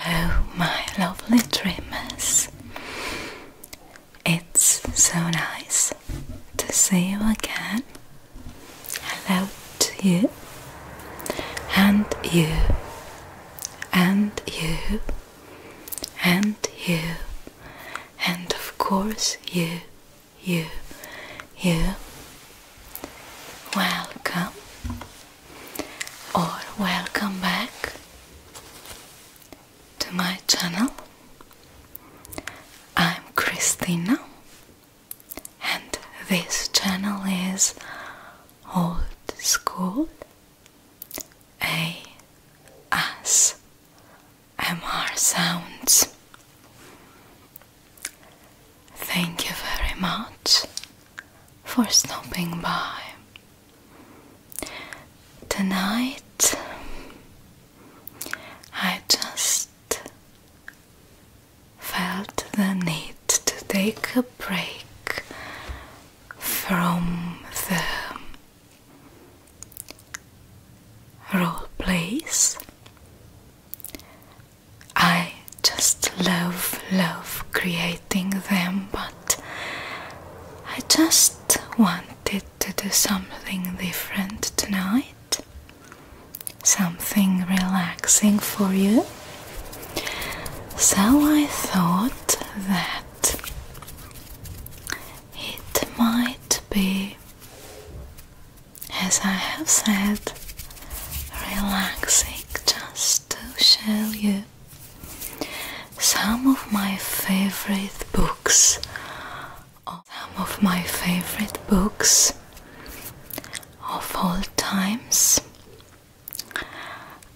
Oh, my lovely dreamers, it's so nice to see you again. Hello to you, and you, and you, and you, and of course, you, you, you. Welcome or welcome back to my channel. I'm Christina, and this channel is Old School A S M R Sounds. Thank you very much for stopping by. Tonight, I just felt the need to take a break from the role plays. I I just love, love creating them, but I just wanted to do something different tonight. Something relaxing for you. So I thought that it might be, as I have said, relaxing just to show you some of my favorite books. Some of my favorite books of all times.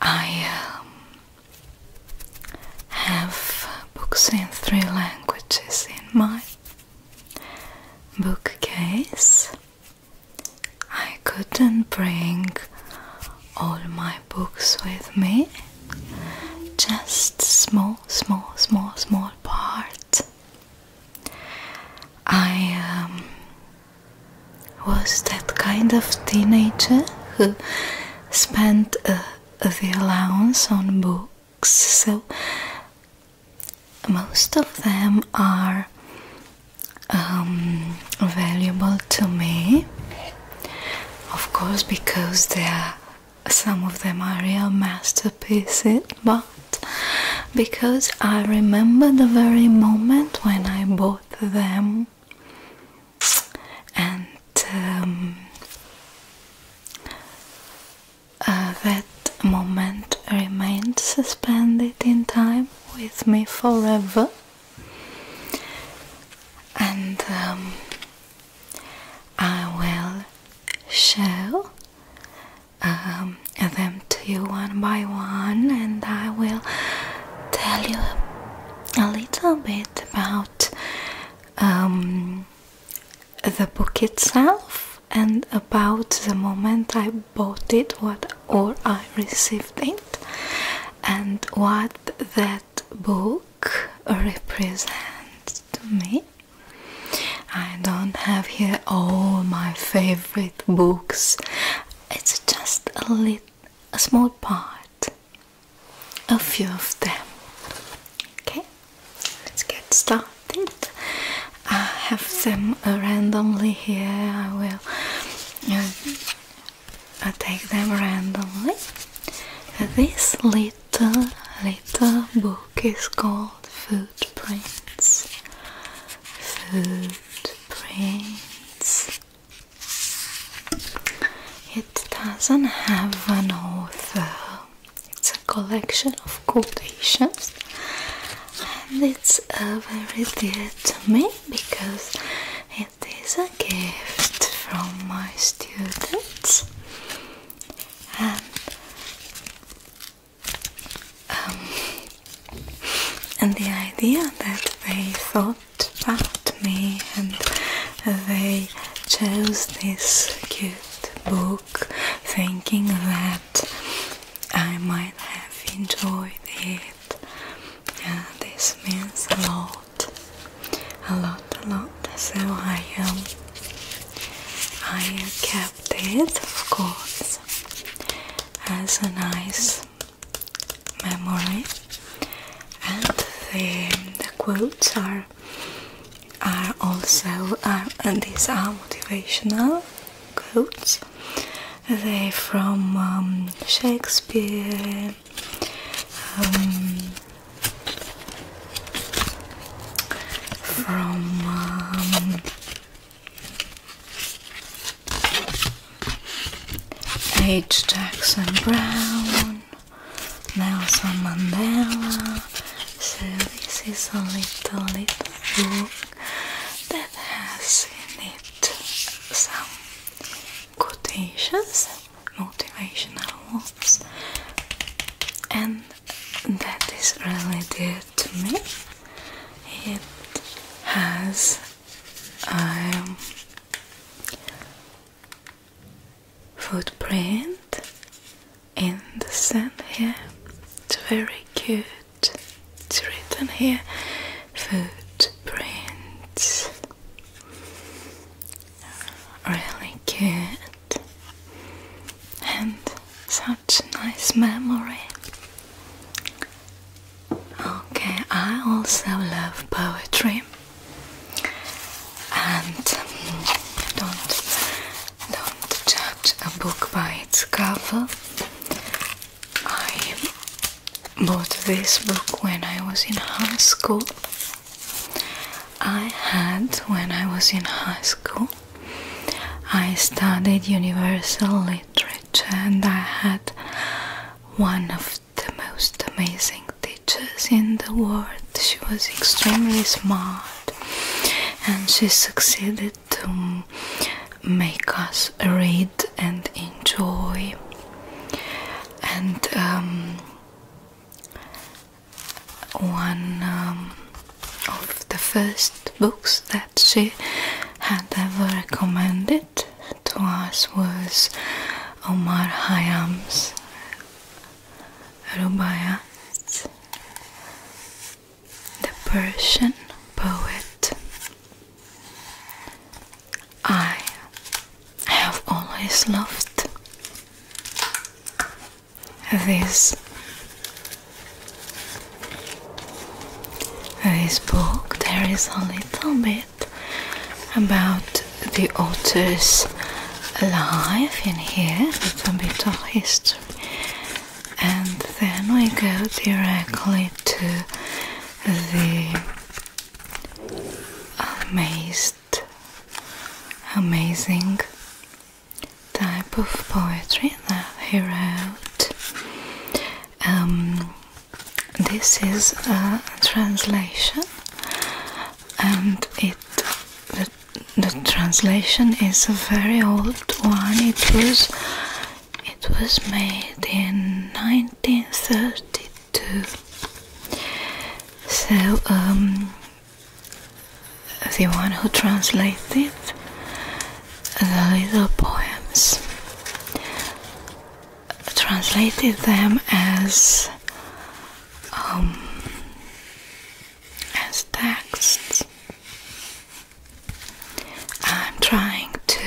I um, have books in three languages in my bookcase. I couldn't bring all my books with me, just small, small, small, small part. I um, was that kind of teenager who spent the allowance on books, so most of them are um, valuable to me, of course, because they are, some of them are real masterpieces, but because I remember the very moment when I bought them and um, uh, that moment remained suspended in time with me forever and um, I will show um, them to you one by one and I will tell you a little bit about um, the book itself and about the moment I bought it what or I received it and what that book represents to me. I don't have here all my favorite books. It's just a little a small part. A few of them. Okay, let's get started. I have some. Uh, randomly here. I will um, uh, take them randomly. Uh, this little little book is called Footprints. Footprints. It doesn't have an author. It's a collection of quotations and it's a very dear to me because it is a gift from my students and um, and the idea that they thought about me and they chose this cute book thinking that I might have enjoyed it yeah, this means a lot, a lot, a lot. So I um, I kept it, of course, as a nice memory. And the, the quotes are are also are, and these are motivational quotes they from um, Shakespeare um, from um, H. Jackson Brown, Nelson Mandela. So this is a little little that has in it some quotations, motivational words, and that is really dear to me. It has um, footprint in the sand here. It's very cute. It's written here footprints. Really good. And such a nice memory. Okay, I also love poetry. And mm, don't don't judge a book by its cover. I bought this book when I was in high school. I had when I was in high school. I studied universal literature and I had one of the most amazing teachers in the world. She was extremely smart and she succeeded to make us read and enjoy and um, one um, of the first books that she had ever recommended to us was Omar Khayyam's Rubaiyat the Persian poet. I have always loved this this book there is a little bit about the author's life in here, a little bit of history and then we go directly to the amazed, amazing type of poetry that he wrote. Um, this is a translation, and it the, the translation is a very old one. It was it was made in 1932. So, um, the one who translated the little poems translated them as um, as texts I'm trying to.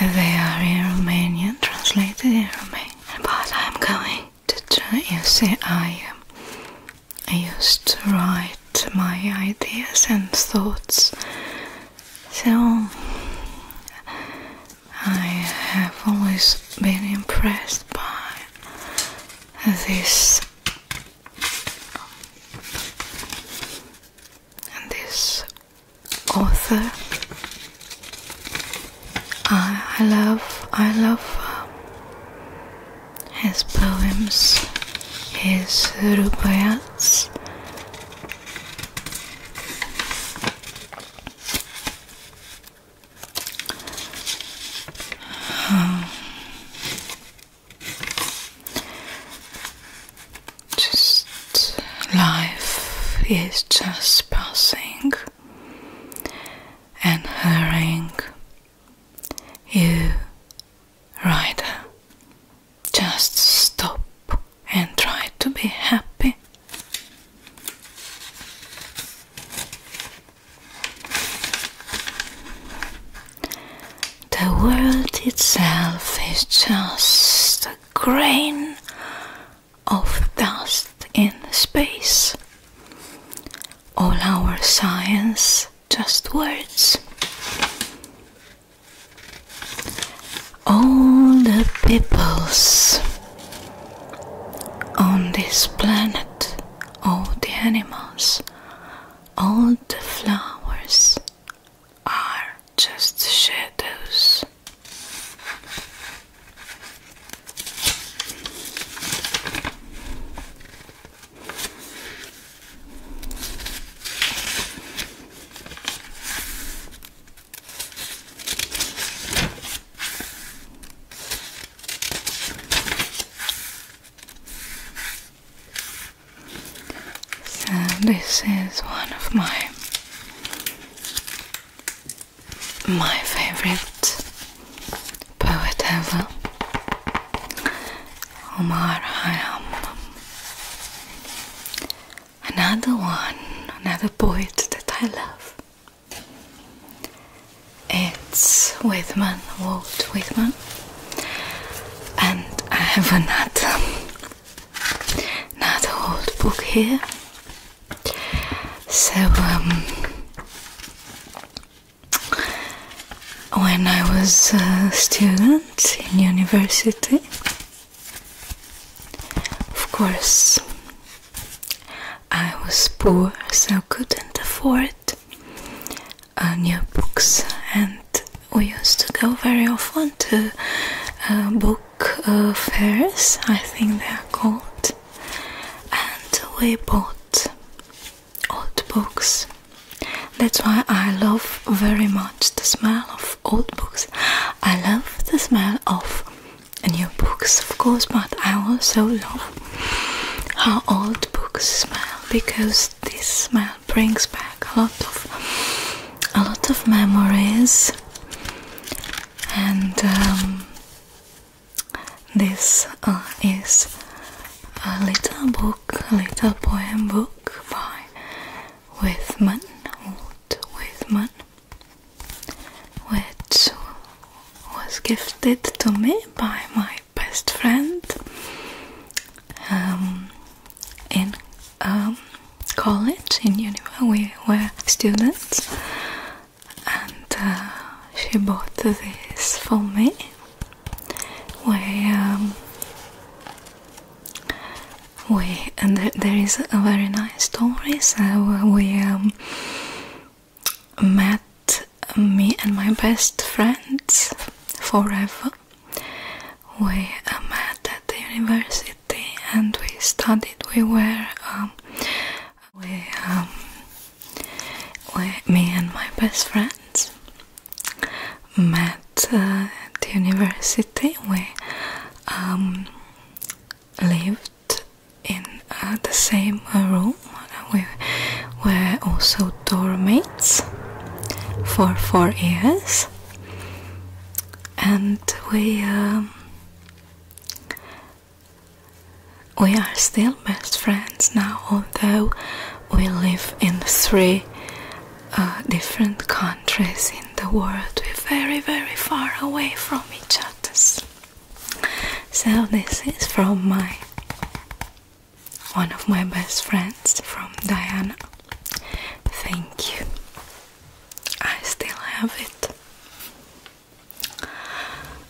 Uh, they are in Romanian, translated in Romanian, but I'm going to try. You see, I, um, I used to write my ideas and thoughts, so I have always been impressed by this and this author, I, I love, I love um, his poems, his rubayats. Um, just life is just passing and hurrying you rider just stop and try to be happy the world itself is just a grain of dust in space. All our science, just words. All the peoples on this planet, all the animals, all the flowers are just shadows. So this is one of my my favorite poet ever, Omar Khayyam. Another one, another poet that I love it's Whitman, Walt Whitman, and I have another, another old book here. So, um, when I was a student in university, of course, I was poor, so couldn't afford uh, new books and we used to go very often to uh, book uh, fairs, I think they are called, and we bought old books. That's why I love very much the smell of old books. I love the smell of new books, of course, but I also love how old book smell because this smell brings back a lot of a lot of memories and um, this uh, is a little book, a little poem book by Withman, Walt Withman, which was gifted to me by my best friend um, in um, college, in university. We were students, and uh, she bought this for me. We um, we and there is a very nice story. So uh, we met me and my best friends forever. We uh, met at the university and we studied. We were, um, we, um, me and my best friends met uh, at the university. We um, lived in uh, the same room. We were also dorm mates for four years, and we um, we are still best friends now, although we live in three uh, different countries in the world. We're very, very far away from each other. So this is from my one of my best friends from Diana. Thank you. I still have it.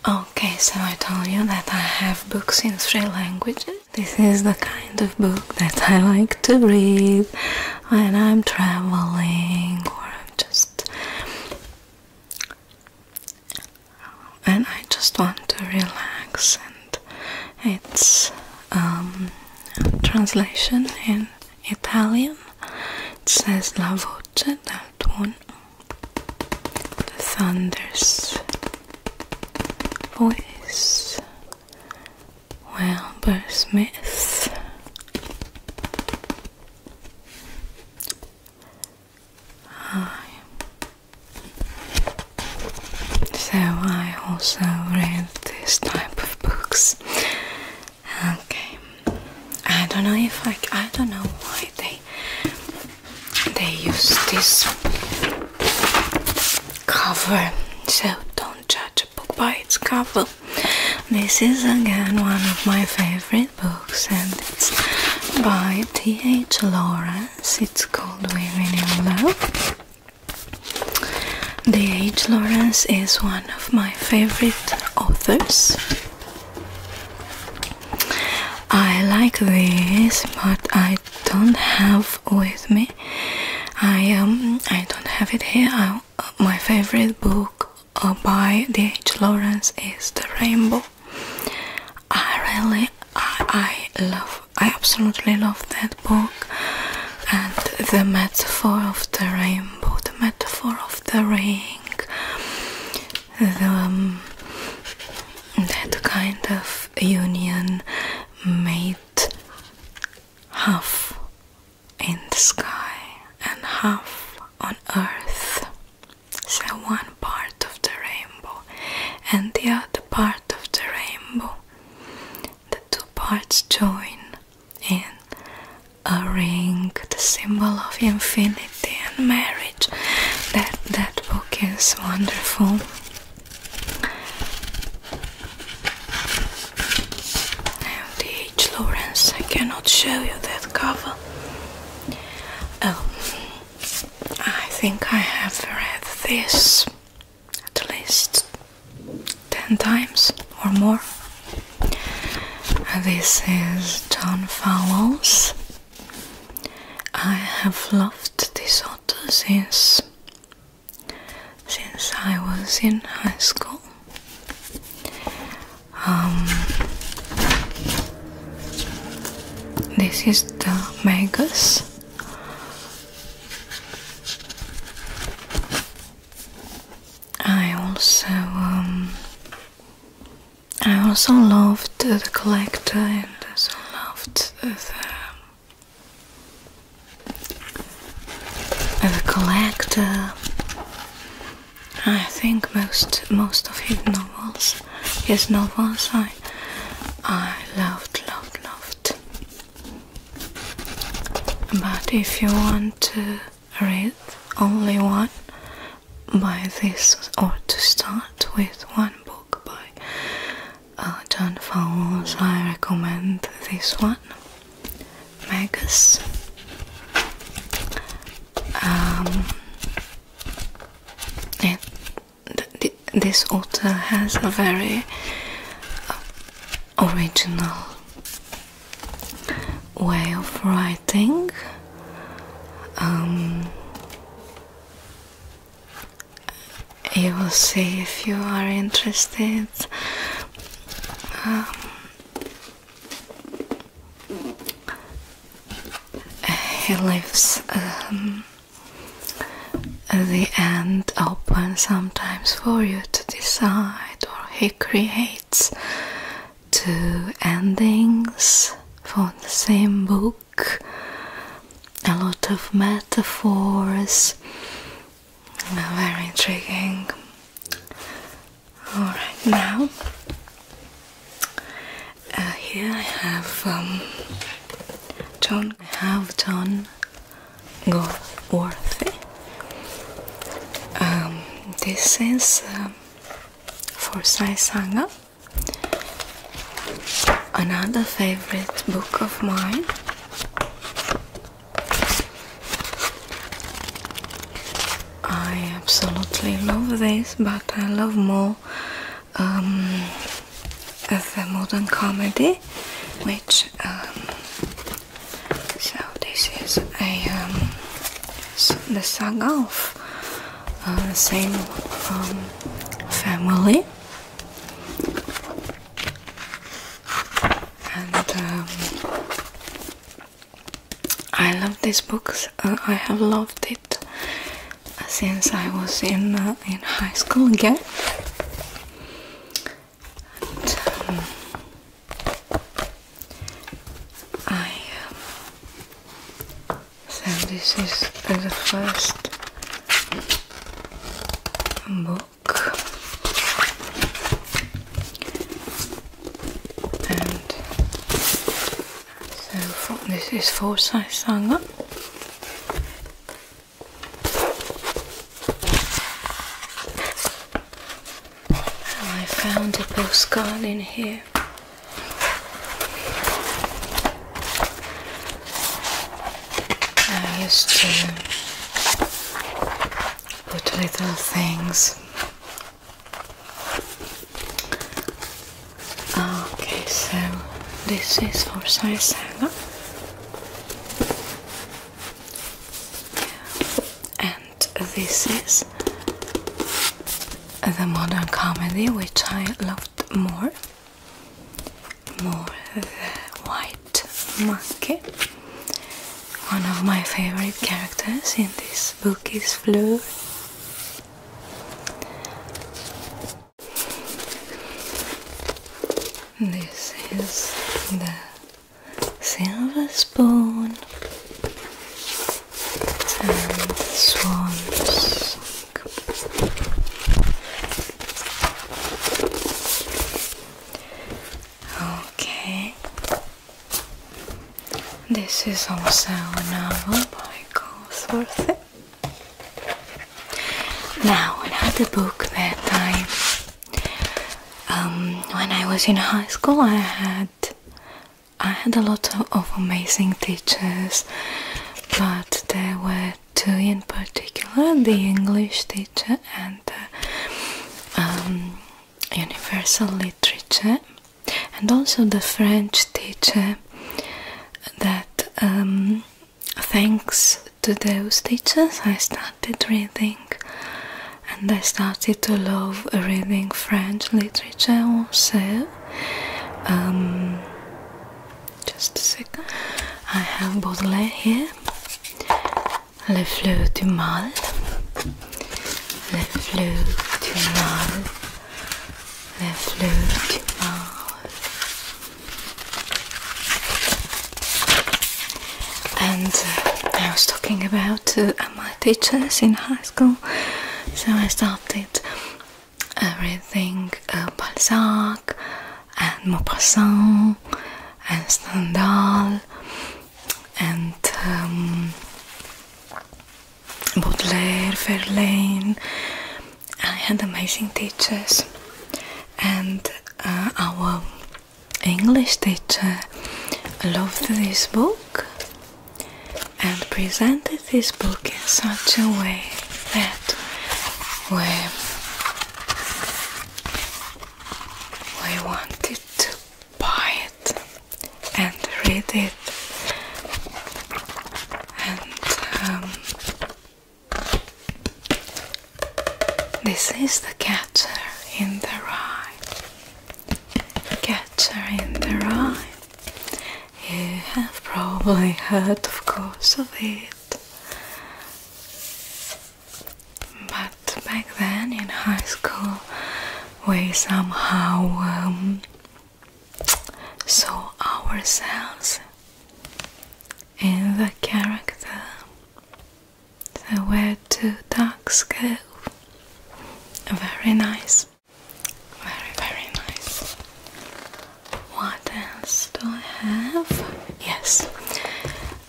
Okay, so I told you that I have books in three languages. This is the kind of book that I like to read when I'm traveling or I'm just and I just want to relax and it's um, translation in Italian it says la voce del tuono the thunder's voice well, but Smith I so I also read this type of books. Okay, I don't know if I I don't know why they they use this cover. So don't judge a book by its cover. This is again one of my favorite books, and it's by T. H. Laura it's called Women in Love. D.H. Lawrence is one of my favorite authors. I like this, but I don't have with me. I um I don't have it here. my favorite book uh, by D.H. Lawrence is The Rainbow. I really, I, love, I absolutely love that book and the metaphor of the rainbow, the metaphor of the ring, the, um, that kind of union made half in the sky and half on earth. So one part of the rainbow and the other part of the rainbow. The two parts join in a ring, the symbol of infinity and marriage. That that book is wonderful. And the H. Lawrence, I cannot show you that cover. Oh. I think I have read this at least 10 times or more. This is John Fowles. I have loved this author since since I was in high school. Um, this is the Magus. I also um, I also loved the collector and I also loved the, the, the collector. I think most most of his novels Yes, no one sign. I loved, loved, loved. But if you want to read only one by this, or to start with one book by uh, John Fowles, I recommend this one, Magus. Um, this author has a very uh, original way of writing. Um, you will see if you are interested. Um, he leaves um, the end open sometimes for you to decide, or he creates two endings for the same book. A lot of metaphors, uh, very intriguing. Alright, now uh, here I have um, John. I have John Goldworthy. Um, this is um, for Sai Sangha. Another favorite book of mine. I absolutely love this, but I love more um, the modern comedy, which um, so this is a um, the saga of uh, the same um, family. And um, I love these books. Uh, I have loved it since I was in uh, in high school again. I um, um, so this is the first book, and so this is for size sangat. And I found a postcard in here. I used to put little things Okay, so this is for Sarisaga. And this is the modern comedy which I loved more. More the White Monkey. One of my favorite characters in this book is Fleur. This is the silver spoon and swans. Okay, this is also a novel by Goldsworthy. Now, another book that I, um, when I was in high school, I had, I had a lot of, of amazing teachers, but there were two in particular: the English teacher and the um, Universal Literature and also the French teacher that um, thanks to those teachers I started reading and I started to love reading French literature also um, just a second I have Baudelaire here Le Fleurs du Mal Le Fleurs du Mal le fleuve And uh, I was talking about uh, my teachers in high school, so I started uh, everything uh, Balzac and Maupassant and Stendhal and um, Baudelaire, Verlaine. I had amazing teachers, and uh, our English teacher loved this book and presented this book in such a way that we wanted to buy it and read it and um, this is the catcher in the rye catcher in the rye you have probably heard of course of it but back then in high school we somehow um, saw ourselves in the character. Where do ducks go. Very nice. Very, very nice. What else do I have? Yes,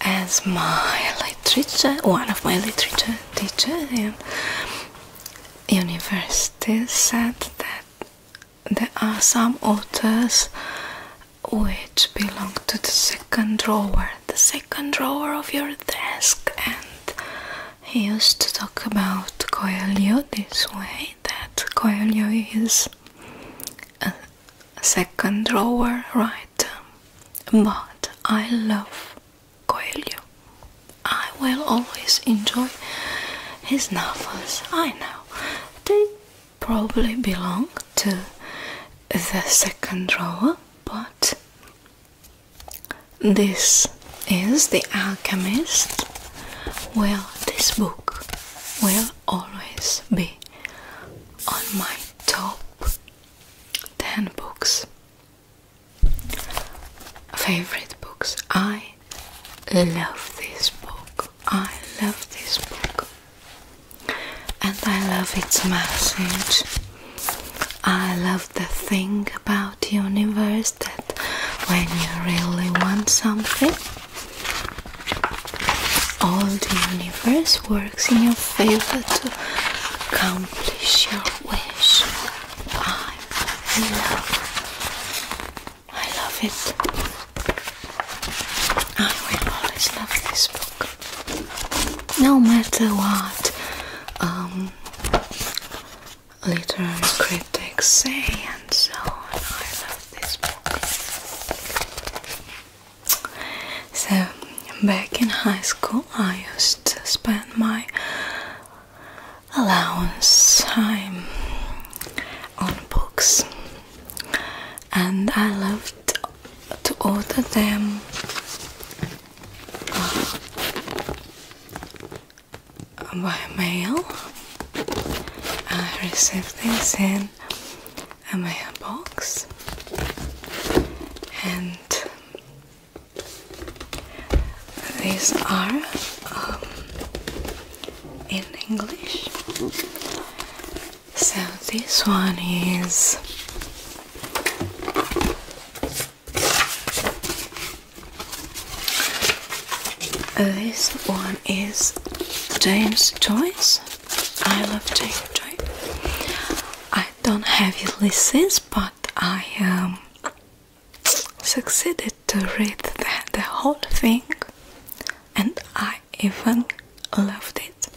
as my literature, one of my literature teachers, university said that there are some authors which belong to the second drawer, the second drawer of your desk, and he used to talk about Koelio this way that Koelio is a second drawer writer, but I love Coelho. I will always enjoy his novels. I know they probably belong to the second row, but this is The Alchemist. Well, this book will always be on my top 10 books favorite books. I love this book. I love this book. And I love its message. I love the thing about the universe that when you really want something, all the universe works in your favor to accomplish your wish. I love, I love it. I will always love this book, no matter what um, literary critics say and so on. I love this book. So, back in high school. I used to spend my allowance time on books, and I loved to order them. Uh, by mail, I received these in a box, and these are um, in English. So this one is this one is James Joyce. I love James Joyce. I don't have it listed, but I um, succeeded to read the, whole thing and I even loved it.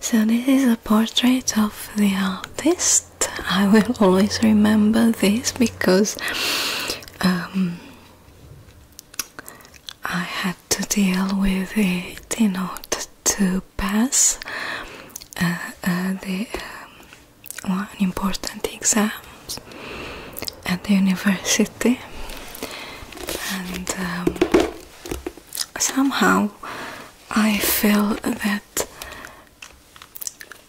So, this is a portrait of the artist. I will always remember this because um, I had to deal with it you know to pass uh, uh, the um, one important exams at the university and um, somehow I feel that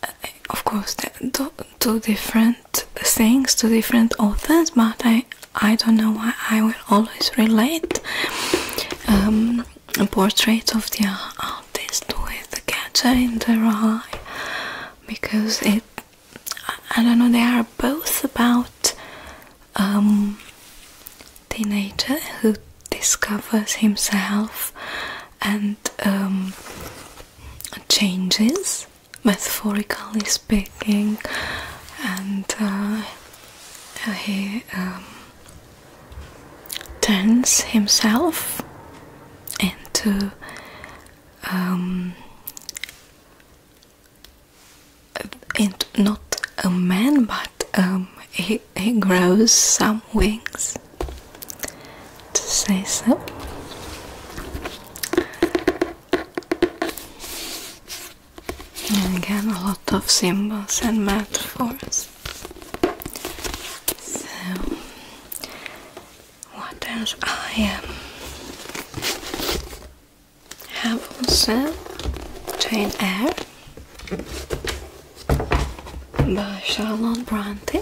uh, of course two, two different things two different authors but I I don't know why I will always relate um, a portrait of the artist with the catcher in the eye because it I don't know they are both about um teenager who discovers himself and um, changes metaphorically speaking and uh, he um, turns himself into um, into not a man but um, he, he grows some wings to say so and again a lot of symbols and metaphors so, what else I um, have also Jane Air by Charlotte Bronte.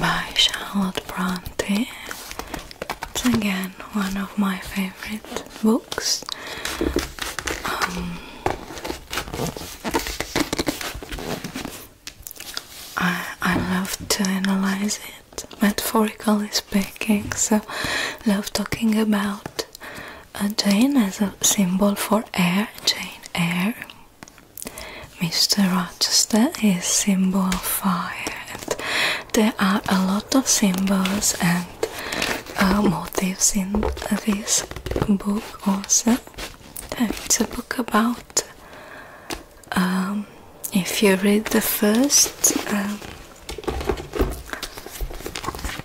By Charlotte Bronte, again one of my favorite books. Um, I, I love to analyze it, metaphorically speaking, so love talking about Jane as a symbol for air, Jane air. Mr. Rochester is symbol of fire there are a lot of symbols and uh, motifs in this book also. It's a book about. Um, if you read the first um,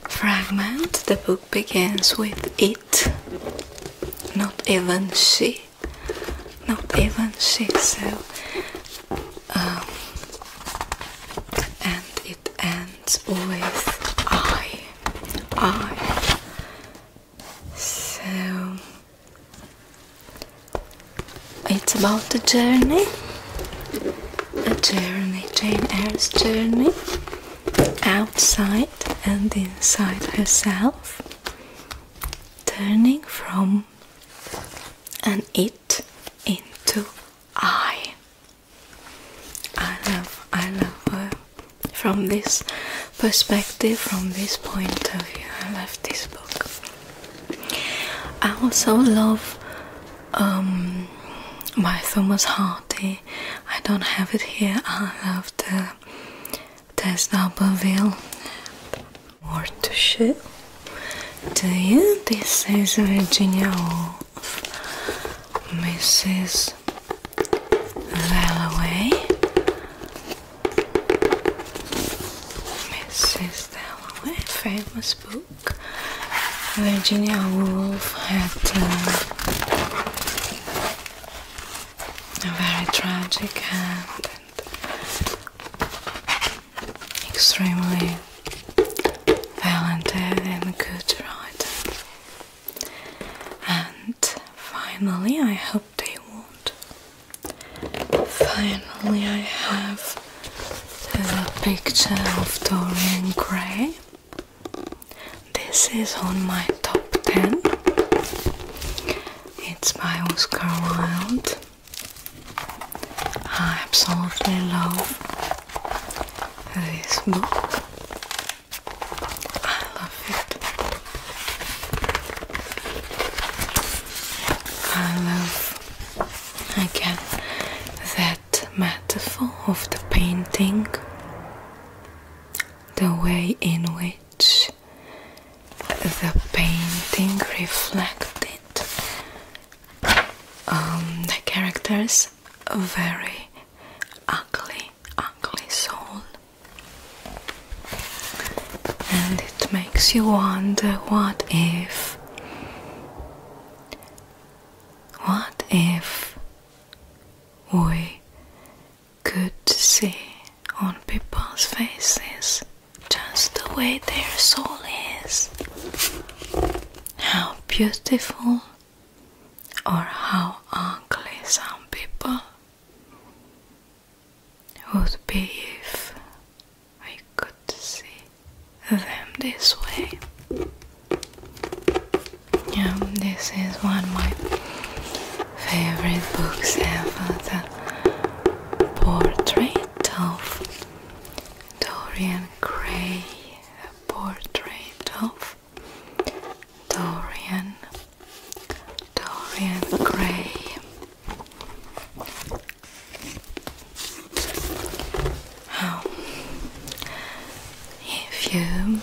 fragment, the book begins with it, not even she, not even she. So um, and it ends with I. I. So it's about a journey, a journey, Jane Eyre's journey, outside and inside herself, turning from an it into I. I love, I love uh, from this perspective, from this point of view. I love this book. I also love um, by Thomas Hardy. I don't have it here. I love the Tess D'Aberville Ortuşu dayı this is Virginia Woolf Mrs. Dalloway Mrs. Dalloway famous book Virginia Woolf had uh, a very tragic end extremely talented and good writer. And finally, I hope they won't. Finally, I have the picture of Dorian Gray. This is on my top 10. It's by Oscar Wilde. I absolutely love this book. I love it. I love again that metaphor of the painting, the way in which the painting reflected um, the characters very ugly, ugly soul, and it makes you wonder what if, what if we could see on people's faces just the way their soul is. How beautiful or how ugly some people would be if I could see them this way. Yeah, this is one of my favorite books ever the portrait of Dorian Gray, portrait of Dorian, Dorian Gray. If you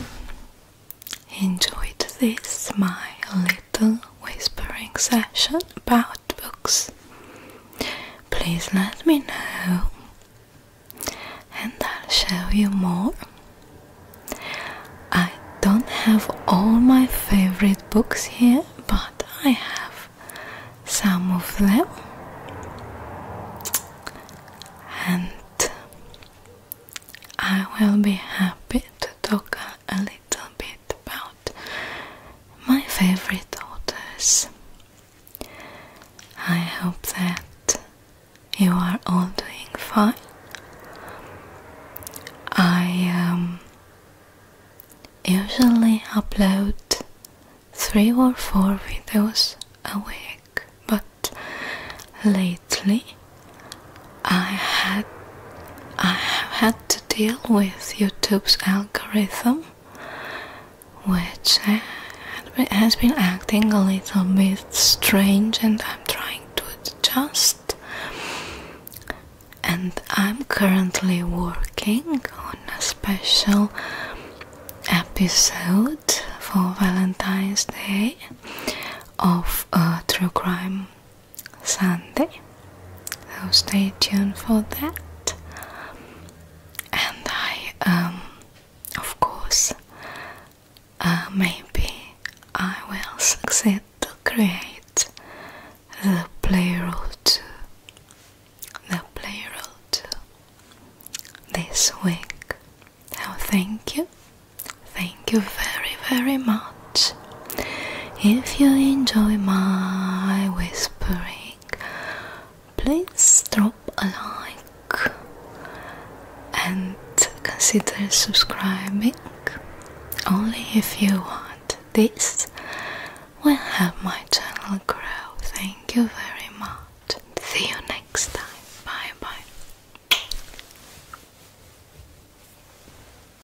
enjoyed this, my little whispering session about books. Please let me know and I'll show you more. I don't have all my favorite books here, but I have some of them. And I will be happy to talk a little bit about my favorite authors. I hope that you are all doing fine. I um, usually upload three or four videos a week, but lately I had I have had to deal with YouTube's algorithm, which uh, has been acting a little bit strange, and I'm trying to adjust. And I'm currently working on a special episode for Valentine's Day of a uh, true crime Sunday. So stay tuned for that. And I, um, of course, uh, maybe I will succeed to create the playroll too. The playroll too. This week. Now thank you. Thank you very, very much. If you enjoy my whispering, please drop a like and consider subscribing. Only if you want this will help my channel grow. Thank you very much. See you next time. Bye bye.